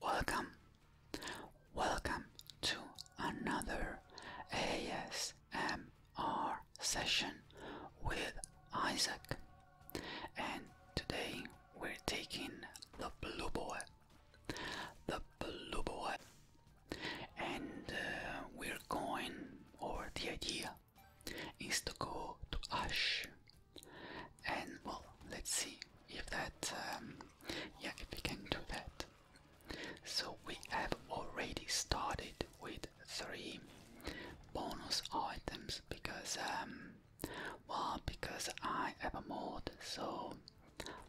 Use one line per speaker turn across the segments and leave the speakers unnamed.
Welcome, welcome to another ASMR session with Isaac, and today we're taking the blue boy, the blue boy, and uh, we're going over the idea is to go to Ash and well let's see if that um, yeah if we can do that so we have already started with three bonus items because um well because I have a mod so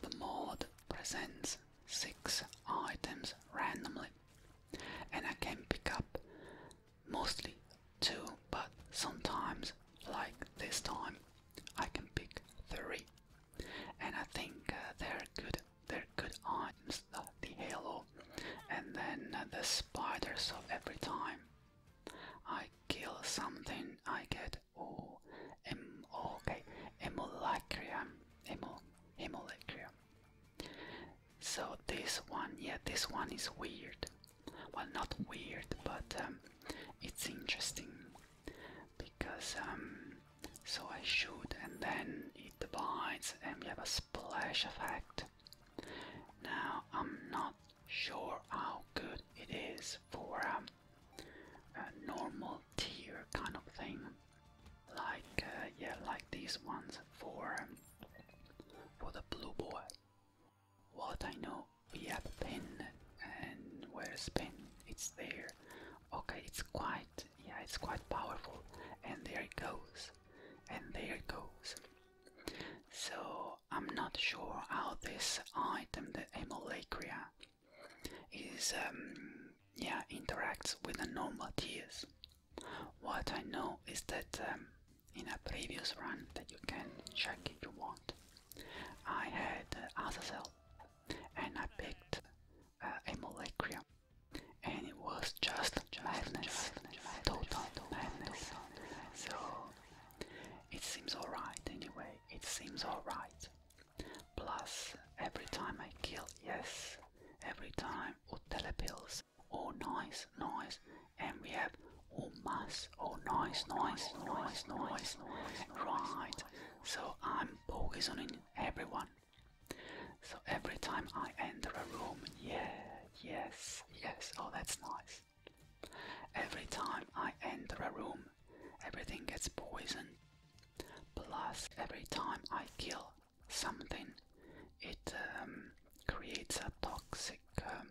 the mod presents six items randomly and I can pick up mostly two, but sometimes, like this time, I can pick three. And I think uh, they're good. They're good items. The, halo, and then uh, the spiders. So every time I kill something, I get oh, em, oh okay, emulacria, emul, emulacria. So this one, yeah, this one is weird well, not weird, but um, it's interesting because um, so I shoot and then it divides, and we have a splash effect. Now I'm not sure how good it is for um, a normal tier kind of thing, like uh, yeah, like these ones for for the blue boy. What I know, we have pen, and where's pen? It's there. Okay, it's quite, yeah, it's quite powerful. And there it goes, and there it goes. So I'm not sure how this item, the Emolacria, is, um, yeah, interacts with the normal tears. What I know is that um, in a previous run that you can check if you want. I had uh, Azazel and I picked uh, Amolecria and it was just, madness, total madness. So it seems alright anyway, it seems alright. Plus, every time I kill, yes, every time, or telepills, or noise, noise, and we have all mass all nice nice nice nice right so i'm poisoning everyone so every time i enter a room yeah yes yes oh that's nice every time i enter a room everything gets poisoned plus every time i kill something it um, creates a toxic um,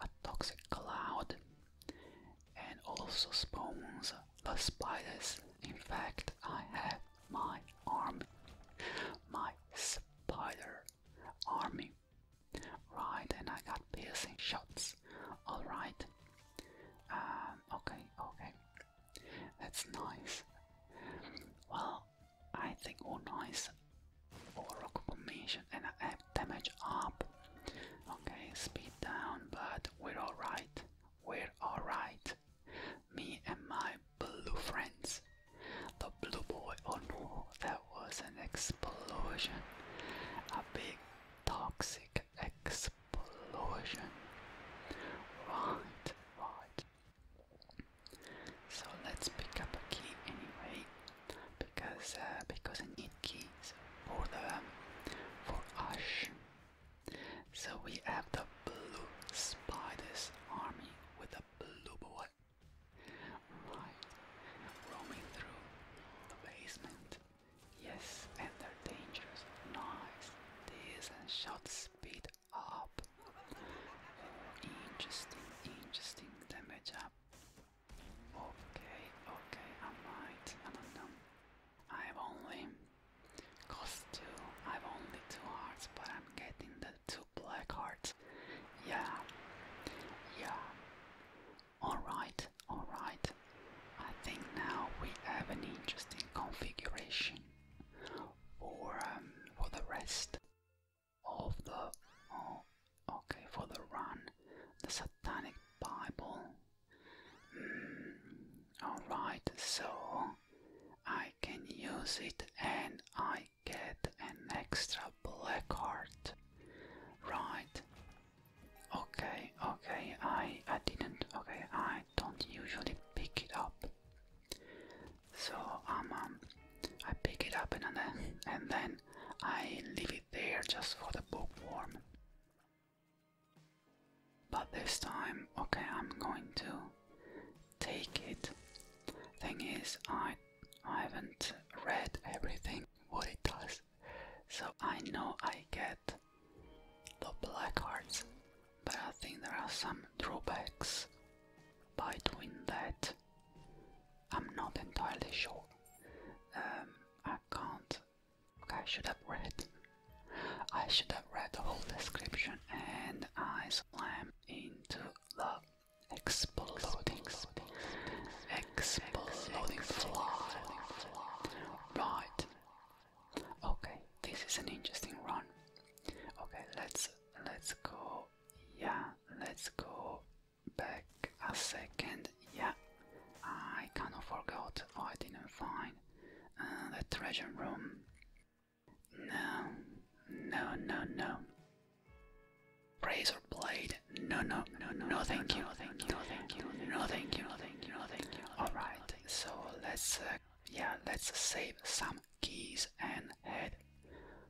a toxic cloud, and also spawns the spiders. In fact, I have my army, my spider army. Right, and I got piercing shots. Alright. Um, okay, okay. That's nice. Well, I think all nice Oracle Commission and I have damage up. Okay, speed down, but we're alright. We're alright. Me and my blue friends. The blue boy, oh no, that was an explosion. A big toxic explosion. Right, right. So let's pick up a key anyway because uh, because I need keys for the um, for Ash. So we have the blue spiders army with the blue boy. roaming through the basement. Yes, and they're dangerous. Nice. This shot speed up. Interesting, interesting damage up. Okay, okay, I might. I don't I have only cost two. I have only two hearts, but I'm getting the two black hearts. Yeah, yeah. Alright, alright. I think now we have an interesting configuration for um, for the rest of the. Oh, Okay, for the run, the Satanic Bible. Hmm, alright, so I can use it and I get an extra black heart. Right. Okay, okay, I, I didn't, okay, I don't usually pick it up. So um, um I pick it up and then, and then I leave it there just for the bookworm. But this time, okay, I'm going to take it. Thing is, I, I haven't read everything what it does, so I know I get the black hearts, but I think there are some drawbacks by doing that. I'm not entirely sure. Um, I can't. Okay, I should have read. I should have read the whole description and I slam into the exploding, exploding fly. Right. Okay, this is an interesting run. Okay, let's let's go. Yeah, let's go back a second. Yeah, I kind of forgot. Oh, I didn't find uh, the treasure room. No, no, no, no. Razor blade. No, no, no, no. No, thank you. No, thank you. No, thank you. No, thank you. No, thank you. No, thank you. All right. So let's, uh, yeah, let's save some keys and head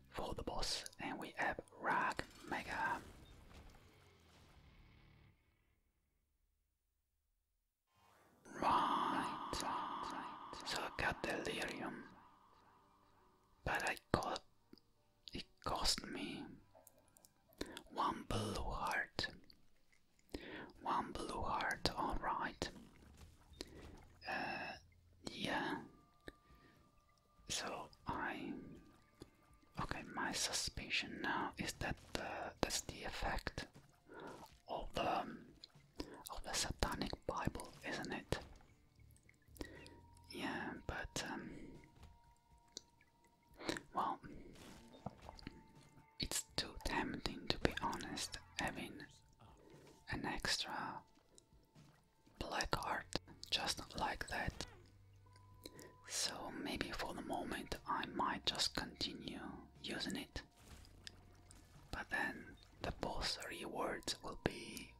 for the boss. And we have Rag Mega. Right. So I got delirium. But I got it cost me one blue heart. One blue heart, alright. Uh yeah. So I okay, my suspicion now is that that's the effect of the um, of the Satanic Bible, isn't it? Yeah, but um, well, it's too tempting to be honest. Having an extra black art just like that. So maybe for the moment I might just continue using it. But then the boss rewards will be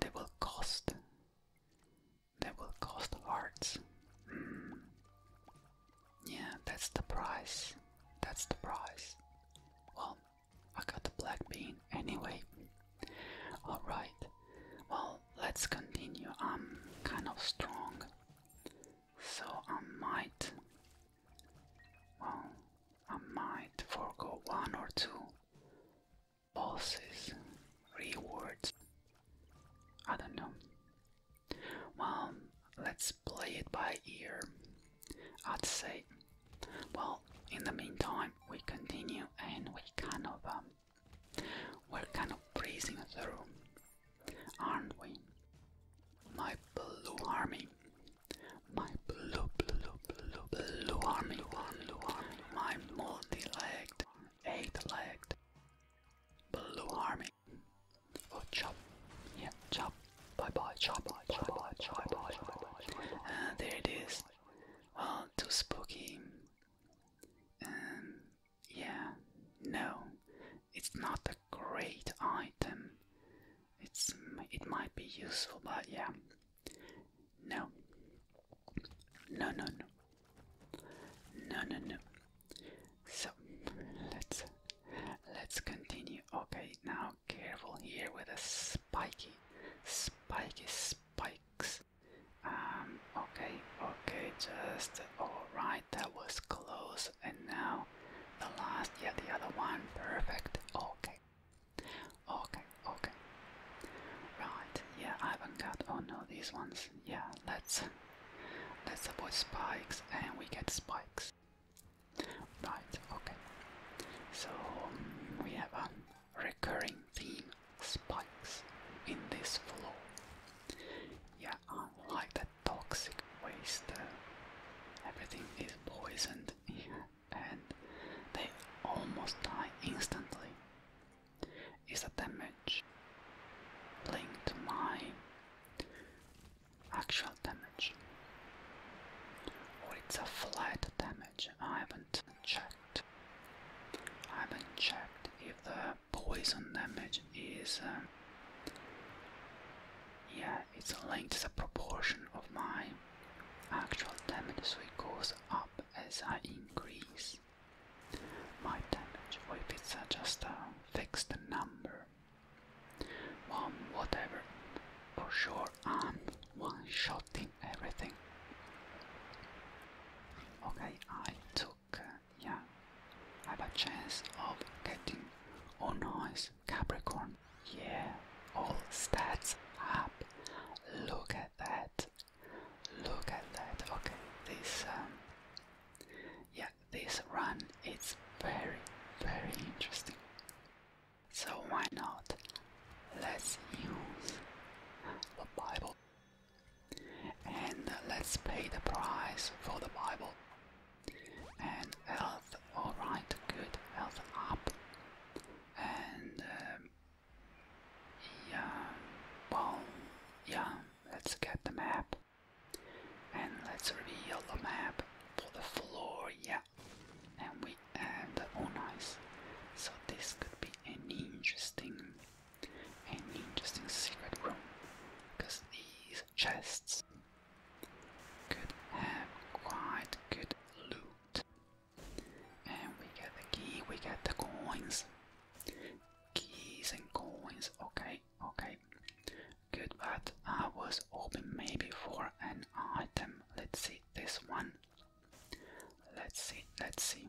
they will cost they will cost hearts. Hmm. Yeah, that's the price. That's the price. Well, I got the black bean anyway. Alright, well, let's continue. I'm kind of strong, so I might. Well, I might forego one or two bosses, rewards. I don't know. Well, let's play it by ear, I'd say. Well, in the meantime, we continue and we kind of um, we're kind of breezing through, aren't we? My blue army, my blue, blue, blue, blue army, blue army, my multi-legged, eight-legged blue army. Oh, chop, yeah, chop, bye bye, chop, bye bye, bye bye, bye bye. Uh, there it is. Well, too spooky. Um, yeah, no, it's not a great item. It's it might be useful, but yeah, no, no, no, no, no, no, no. So let's let's continue. Okay, now careful here with a spiky, spiky spikes. Um, okay, okay, just alright, that was close. And now the last, yeah, the other one, perfect. Okay, okay, okay. Right, yeah, I haven't got, oh no, these ones. Yeah, let's, let's avoid spikes and we get spikes. Right, okay. So um, we have a recurring theme spikes in this floor. Yeah, unlike the toxic waste, uh, everything is poisoned here and they almost die instantly. Is the damage linked to my actual damage? Or it's a flight damage? I haven't checked. I haven't checked if the poison damage is. Uh, yeah, it's linked to the proportion of my actual damage, so it goes up as I increase my damage, or if it's uh, just a fixed number. One, whatever. For sure, I'm one shotting everything. Okay, I took, uh, yeah, I have a chance of getting, oh nice, Capricorn. Yeah, all stats up. Look at that. Look at that. Okay, this, um, yeah, this run is very, very interesting. So why not? Let's use the Bible and let's pay the price for the Bible. And health, alright, good, health up. And um, yeah, well, yeah, let's get the map. And let's reveal the map for the floor, yeah. And we add, oh nice. So this could be an interesting an interesting secret room, because these chests could have quite good loot. And we get the key, we get the coins. Keys and coins, okay, okay. Good, but I was hoping maybe for an item. Let's see this one. Let's see, let's see.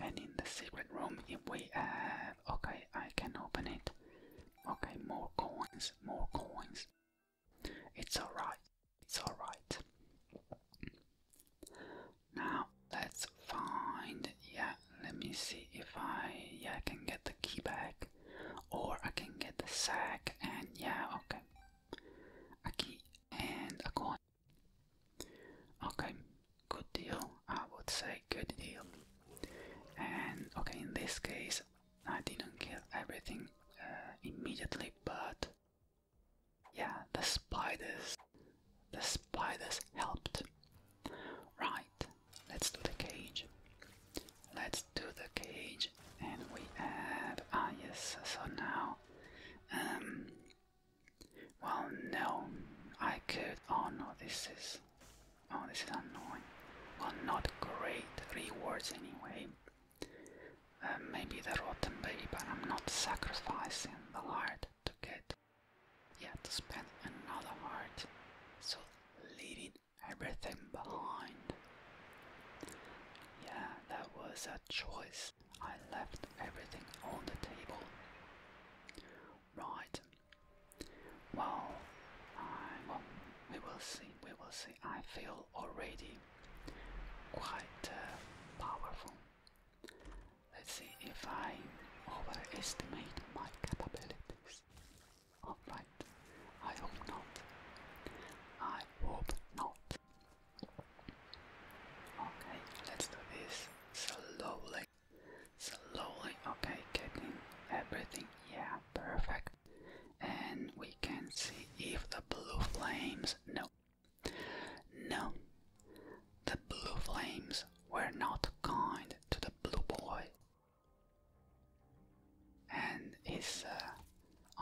And in the secret room, if we have. Uh, okay, I can open it. Okay, more coins, more coins. It's alright, it's alright. Now, let's find. Yeah, let me see if I. Yeah, I can get the key back. Or I can get the sack, and yeah, okay. A key and a coin. Okay, good deal, I would say good deal. And okay, in this case, I didn't kill everything uh, immediately, but yeah, the spiders, the spiders helped. Right, let's do the cage. Let's do the cage, and we have ah yes. So now, um, well, no. I could. Oh no, this is. Oh, this is annoying. Well, not great rewards anyway. Uh, maybe the rotten baby, but I'm not sacrificing the heart to get. Yeah, to spend another heart. So leaving everything behind. Yeah, that was a choice. I left everything on the table. Right, well, we will see, we will see. I feel already quite uh, powerful. Let's see if I overestimate my capabilities. Alright, I hope not. I hope not. Okay, let's do this slowly slowly. Okay, getting everything. Yeah, perfect. And we can see if the blue flames. No. No. The blue flames were not kind to the blue boy and his uh,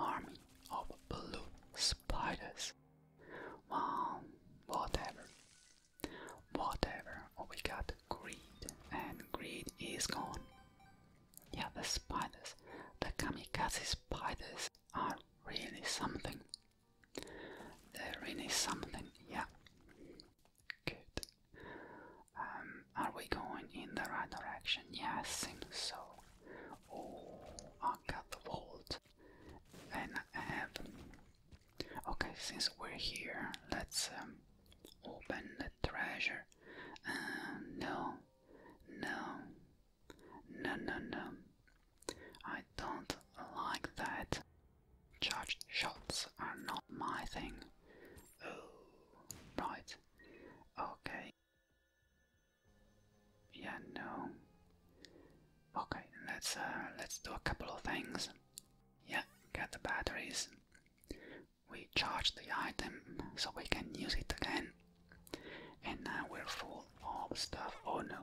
army of blue spiders. Well, whatever. Whatever, oh, we got greed, and greed is gone. Yeah, the spiders, the kamikaze spiders are really something. They're really something, yeah. Good. Um, are we going in the right direction? Yeah, I so. Oh, I got the vault. And I have Okay, since we're here, let's open the treasure. no, no, no, no, no. I don't like that. Charged shots are not my thing. Oh, right. Okay. Yeah, no. Okay, let's let's do a couple of things. Yeah, get the batteries. We charge the item so we can use it again. And now we're full of stuff. Oh no.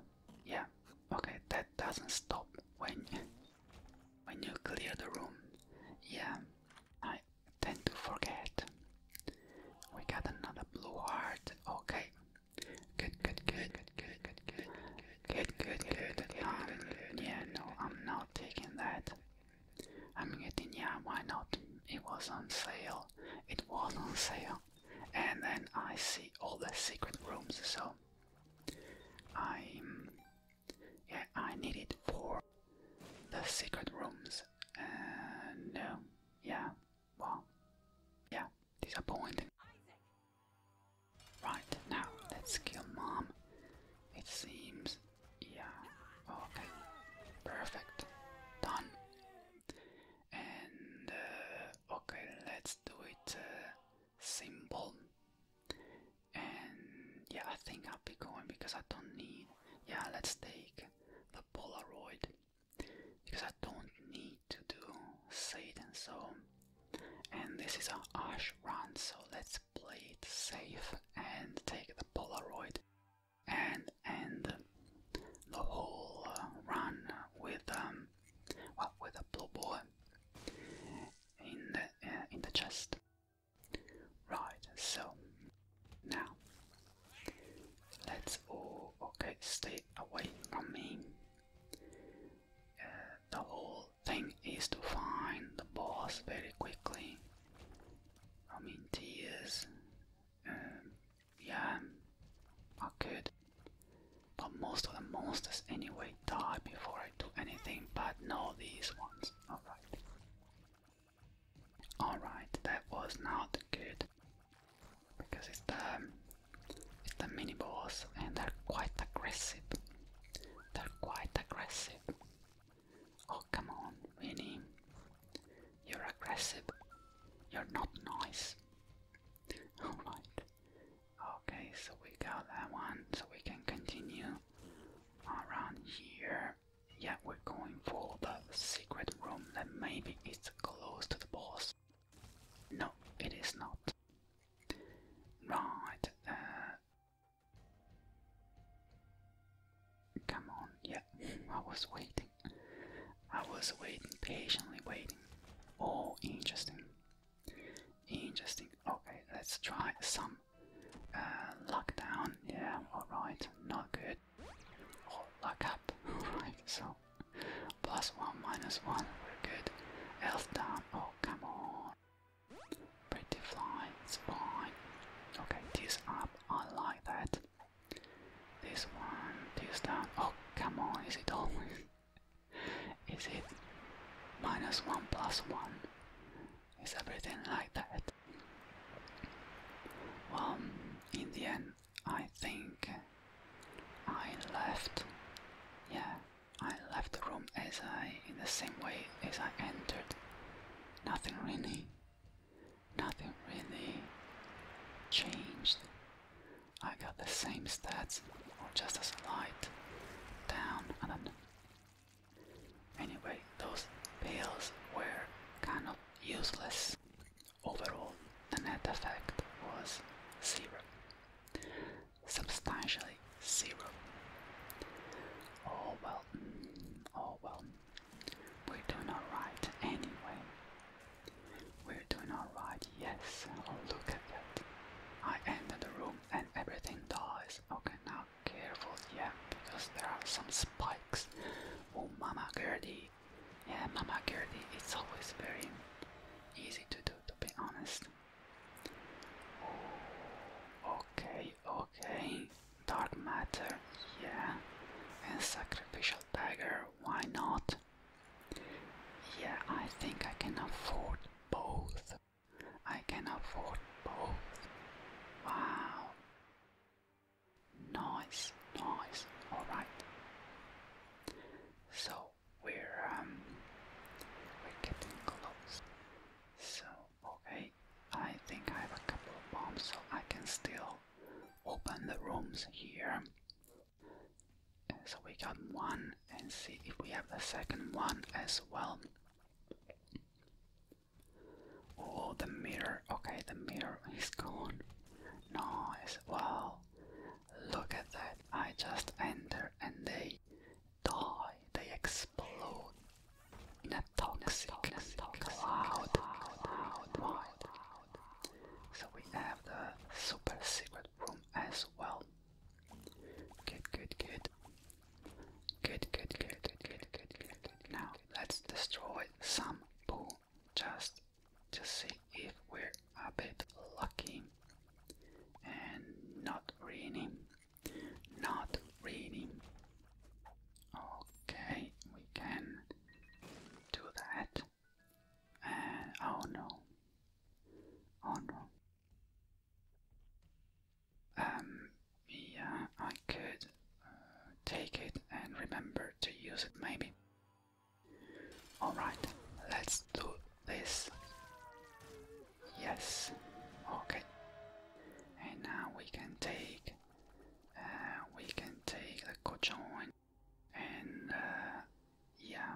Yeah. Okay, that doesn't stop when when you clear the room. Yeah. I tend to forget. We got another blue heart. Okay. Good, good, good, good, good, good, good. Good, good, good. Um, yeah, no, I'm not taking that. I'm getting, yeah, why not? It was on sale. It was on sale. And then I see all the secret rooms, so i Yeah, I need it for the secret rooms. And uh, no, yeah, well, yeah, point. Right, now let's kill mom. It seems. Yeah. Okay. Perfect. Done. And uh, okay, let's do it uh, simple. And yeah, I think I'll be going because I don't need. Yeah, let's take the Polaroid because I don't need to do say it and So and this is an Ash run, so let's play it safe and take the Polaroid and end the whole uh, run with um, well, with a blue ball in the uh, in the chest. Right, so now let's all okay, stay away from me. Uh, the whole thing is to find the boss very quickly. I mean, tears. Um, yeah, I could. But most of the monsters anyway die before I do anything, but no these ones. Alright. Alright, that was not good. Because it's the, it's the mini boss and they're quite aggressive. They're quite aggressive. Oh, come on, Winnie. You're aggressive. You're not nice. Alright. Okay, so we got that one, so we can continue around here. Yeah, we're going for the secret room that maybe it's close to the boss. No, it is not. Right, uh, Come on, yeah, I was waiting. I was waiting, patiently waiting. Oh, interesting. Interesting. Okay, let's try some uh, down. Yeah, alright, not good. Or oh, luck up. Alright, so plus one, minus one, we're good. Health down. Oh, come on. Pretty fly, fine. Okay, this up, I like that. This one, this down. Oh, come on, is it always? is it minus one plus one? Is everything like that? Well, in the end, I think I left. Yeah, I left the room as I, in the same way as I entered. Nothing really, nothing really changed. I got the same stats, or just as light, down and then. Anyway, those pills were kind of useless. Overall, the net effect was zero substantially zero. Oh well, mm, oh well. We're doing alright anyway. We're doing alright, yes. Oh, look at that. I enter the room and everything dies. Okay, now careful, yeah, because there are some spikes. Oh, Mama Gurdy. Yeah, Mama Gurdy. it's always very easy to do, to be honest. Okay, okay. Dark matter, yeah. And sacrificial dagger, why not? Yeah, I think I can afford both. I can afford both. Wow. Nice, nice. Alright. So we're um we're getting close. So okay, I think I have a couple of bombs, so I can still open the rooms here. so we got one, and see if we have the second one as well. Oh, the mirror. Okay, the mirror is gone. Nice. Well, look at that. I just enter and they die, they explode in a toxic, cloud. So we have the super secret room as well. Good, good, good. Good, good, good, good, good, good, good, Now let's destroy some poo just to see if we're a bit lucky and not really. Not really. Okay, we can do that. Uh, oh no. Oh no. Um, yeah, I could uh, take it and remember to use it maybe. Alright, let's do this. Yes. Okay. And now we can take uh, we can take the cojoin and uh, yeah.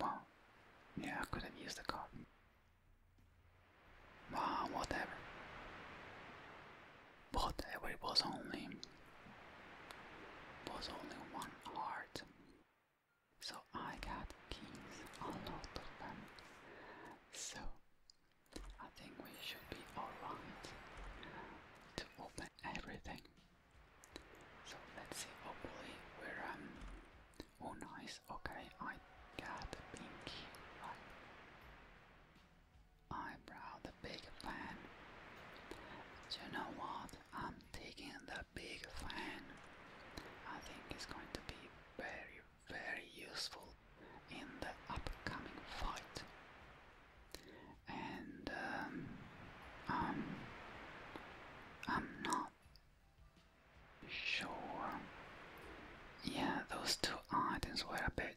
Well, yeah, I could have used the cotton. Well, whatever. Whatever. It was only was only one heart. So I got keys, a lot of them. So I think we should be alright to open everything. So let's see, hopefully we're um oh nice, okay, I got the pink right. Eyebrow, the big fan. Do you know what? I'm taking the big fan. I think is going to be very, very useful in the upcoming fight. And um, um, I'm not sure. Yeah, those two items were a bit.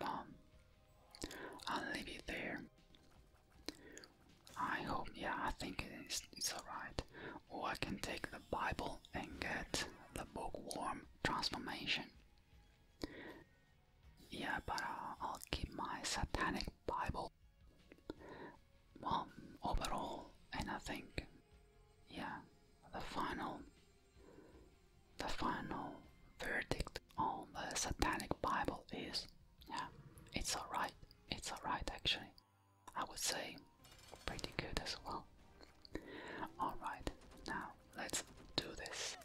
Mom, um, I'll leave it there. I hope, yeah, I think it's, it's alright. Or I can take the Bible and get the book bookworm transformation. Yeah, but I'll keep my satanic Bible. Well, overall, and I think, yeah, the final, the final verdict on the satanic Bible is, yeah, it's alright. It's alright actually. I would say pretty good as well. Alright, now let's do this.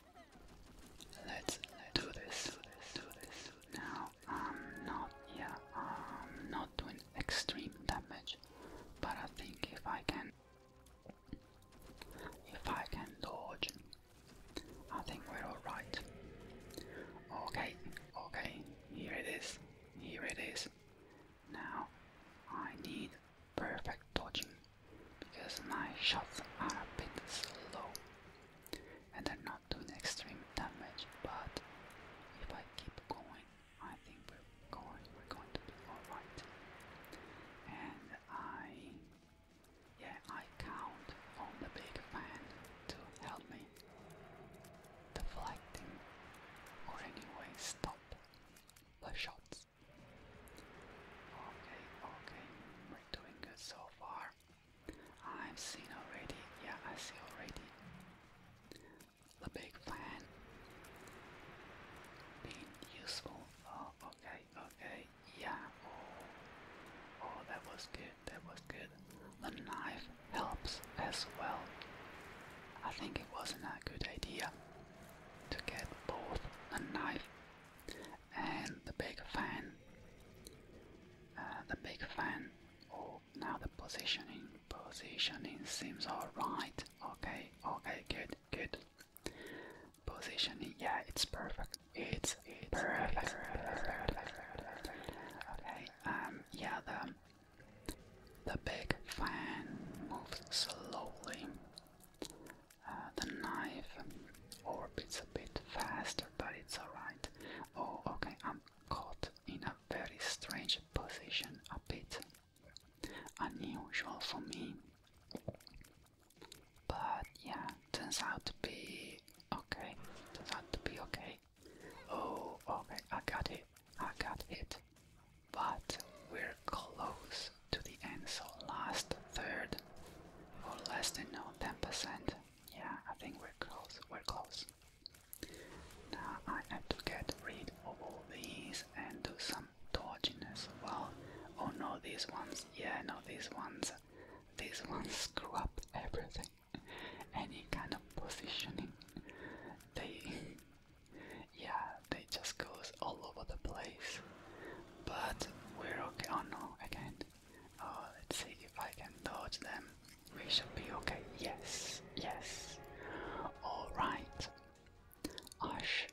Let's, do this, do this, do this. Now I'm not, yeah, I'm not doing extreme damage, but I think if I can, if I can dodge, I think we're alright. Okay, okay, here it is. Here it is. Now I need perfect dodging because my shots are a bit slow and they're not doing extreme damage but if I keep going I think we're going we're going to be alright. And I yeah I count on the big fan to help me enemy, deflecting or anyway stopped by shots. Okay, okay, we're doing good so far. I've seen already, yeah, I see already the big fan being useful. Oh, okay, okay, yeah. Oh, oh, that was good, that was good. The knife helps as well. I think it wasn't a good idea to get both a knife and the big fan. Uh, the big fan, oh, now the positioning, positioning seems alright. Okay, okay, good, good. Positioning, yeah, it's perfect. It's, it's perfect. perfect. perfect. perfect. Okay, um, yeah, the the big fan moves slowly. Uh, the knife orbits a bit faster, but it's alright. Oh, okay, I'm caught in a very strange position, a bit unusual for me. But yeah, turns out to be okay. Turns out to be okay. Oh, okay, I got it. I got it. But we're close to the end, so last third, or less than no, 10%. Yeah, I think we're close. We're close. Now I have to get rid of all these and do some dodging as well. Oh no, these ones. Yeah, no, these ones. These ones screw up everything any kind of positioning. They, yeah, they just goes all over the place. But we're okay. Oh no, again. Oh, let's see if I can dodge them. We should be okay. Yes, yes. All right. Ash,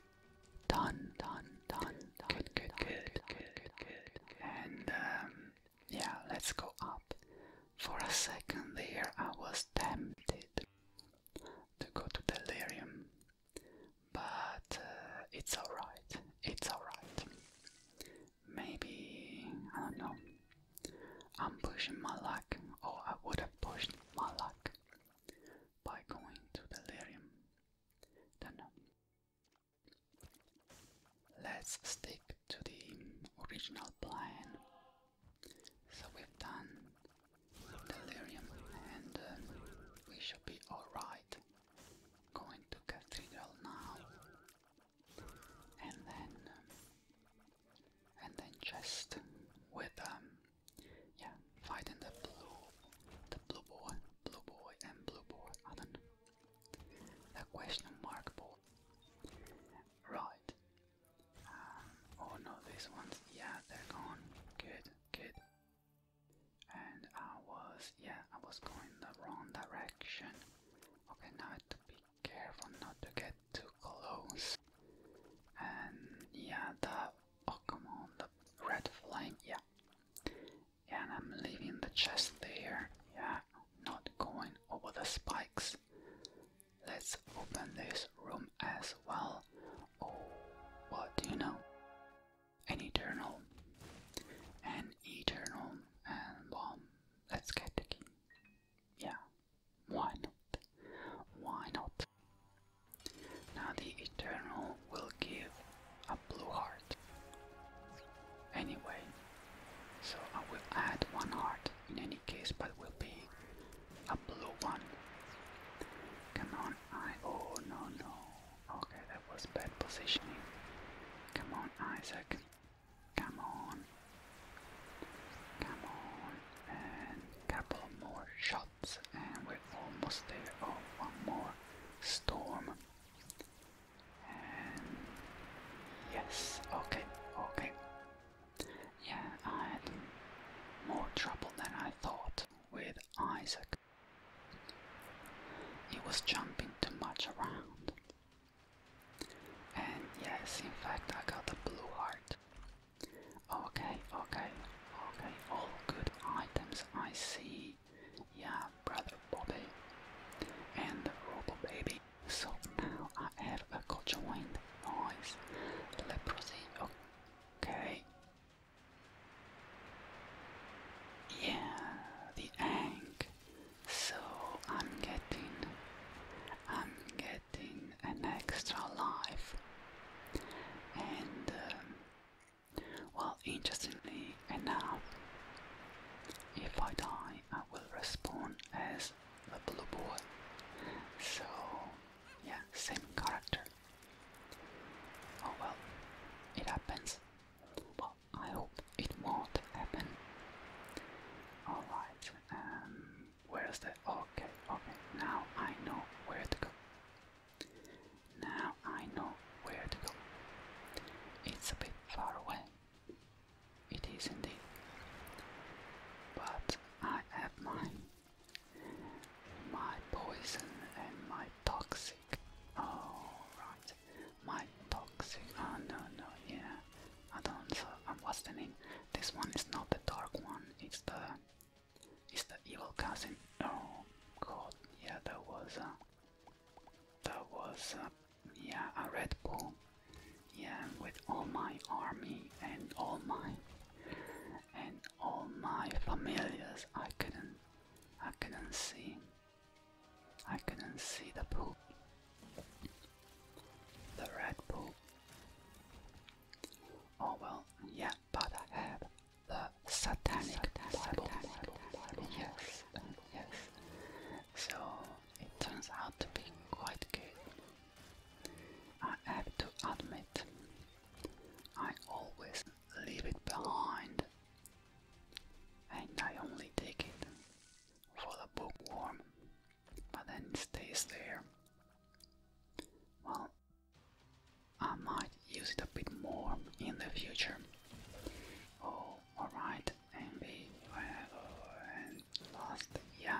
done, done, done, Good, good, good, good, good, And um, yeah, let's go up. For a second there, I was tempted to go to delirium, but uh, it's alright, it's alright. Maybe, I don't know, I'm pushing my luck, or I would have pushed my luck by going to delirium. Then let's stick to the original plan so we've done delirium and uh, we should be alright. Going to cathedral now. And then um, and then just with um yeah, fighting the blue the blue boy, blue boy and blue boy, I The question mark boy. Right, um, oh no, these ones, yeah, they're gone. Good, good. And I was, yeah, I was going the wrong direction. Okay, now I have to be careful not to get too close. And yeah, the, oh come on, the red flame, yeah. Yeah, I'm leaving the chest there. Yeah, not going over the spikes. Let's open this room as well. Oh, what do you know? An eternal. An eternal. And well, let's get the key. Yeah, why not? Why not? Now the eternal will give a blue heart. Anyway, so I will add one heart in any case, but will be a blue one. Come on, I. Oh no, no. Okay, that was bad positioning. Come on, Isaac. Come on. Come on. And couple more shots, and we're almost there. Oh, one more storm. And yes, okay, okay. Yeah, I had more trouble than I thought with Isaac. He was jumping too much around. And yes, in fact, I got a blue heart. Okay, okay, okay, all good items I see. Yeah, brother Bobby and Robo Baby. So now I have a conjoined noise. Leprosy, okay. Yeah, the egg. So I'm getting, I'm getting an extra life. And uh, well, interestingly enough, if I die, I will respawn as the blue boy. So, yeah, same character. Oh well, it happens. Well, I hope it won't happen. Alright, um, where's that? Okay, okay, now I know where to go. Now I know where to go. It's a bit far away, it is indeed. But I have my my poison and my toxic. Oh right, my toxic. Oh no no yeah. I don't. So um, what's the name? This one is not the dark one. It's the it's the evil cousin. Oh god, yeah, that was a uh, that was a uh, yeah a red bull. Yeah, with all my army and all my and all my familiars, I couldn't, I couldn't see, I couldn't see the poop, the red poop. Oh well, yeah, but I have the satanic, satanic Bible. Bible, Bible, yes, yes. So it turns out to be quite good. I have to admit, I always leave it behind, and I only take it for the bookworm, but then it stays there. Well, I might use it a bit more in the future. Oh, alright, oh, and last, yeah,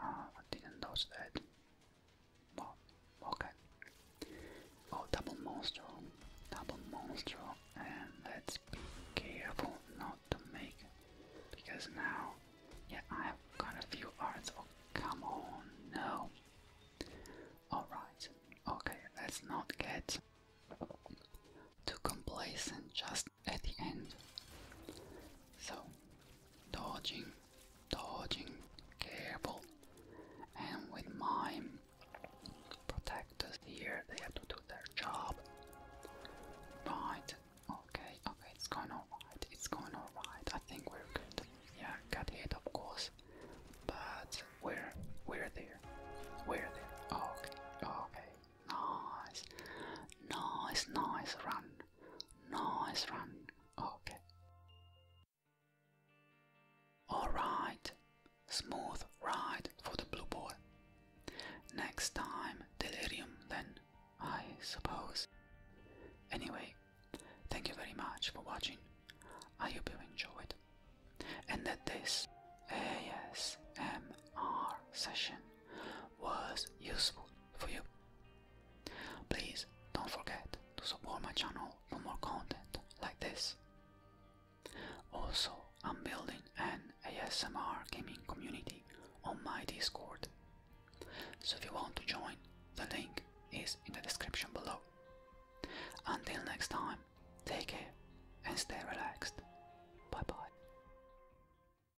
Ah, I didn't notice that. Well, okay. Oh, double monster, double monster, and let's be careful not to make because now, yeah, I have got a few arts. Oh, come on, no. All right, okay, let's not get too complacent. Just at the end. So, dodging, dodging, careful. And with my protectors here, they have to do their job. Right, okay, okay, it's going alright, it's going alright. I think we're good. Yeah, cut hit, of course. But we're, we're there. We're there. Okay, okay. Nice, nice, nice run. Nice run. Okay. Alright. Smooth ride for the blue boy. Next time, delirium then, I suppose. Anyway, thank you very much for watching. I hope you enjoyed. And that this ASMR session was useful for you. Please don't forget to support my channel for more content like this. Also, I'm building an ASMR gaming community on my Discord. So if you want to join, the link is in the description below. Until next time, take care and stay relaxed. Bye bye.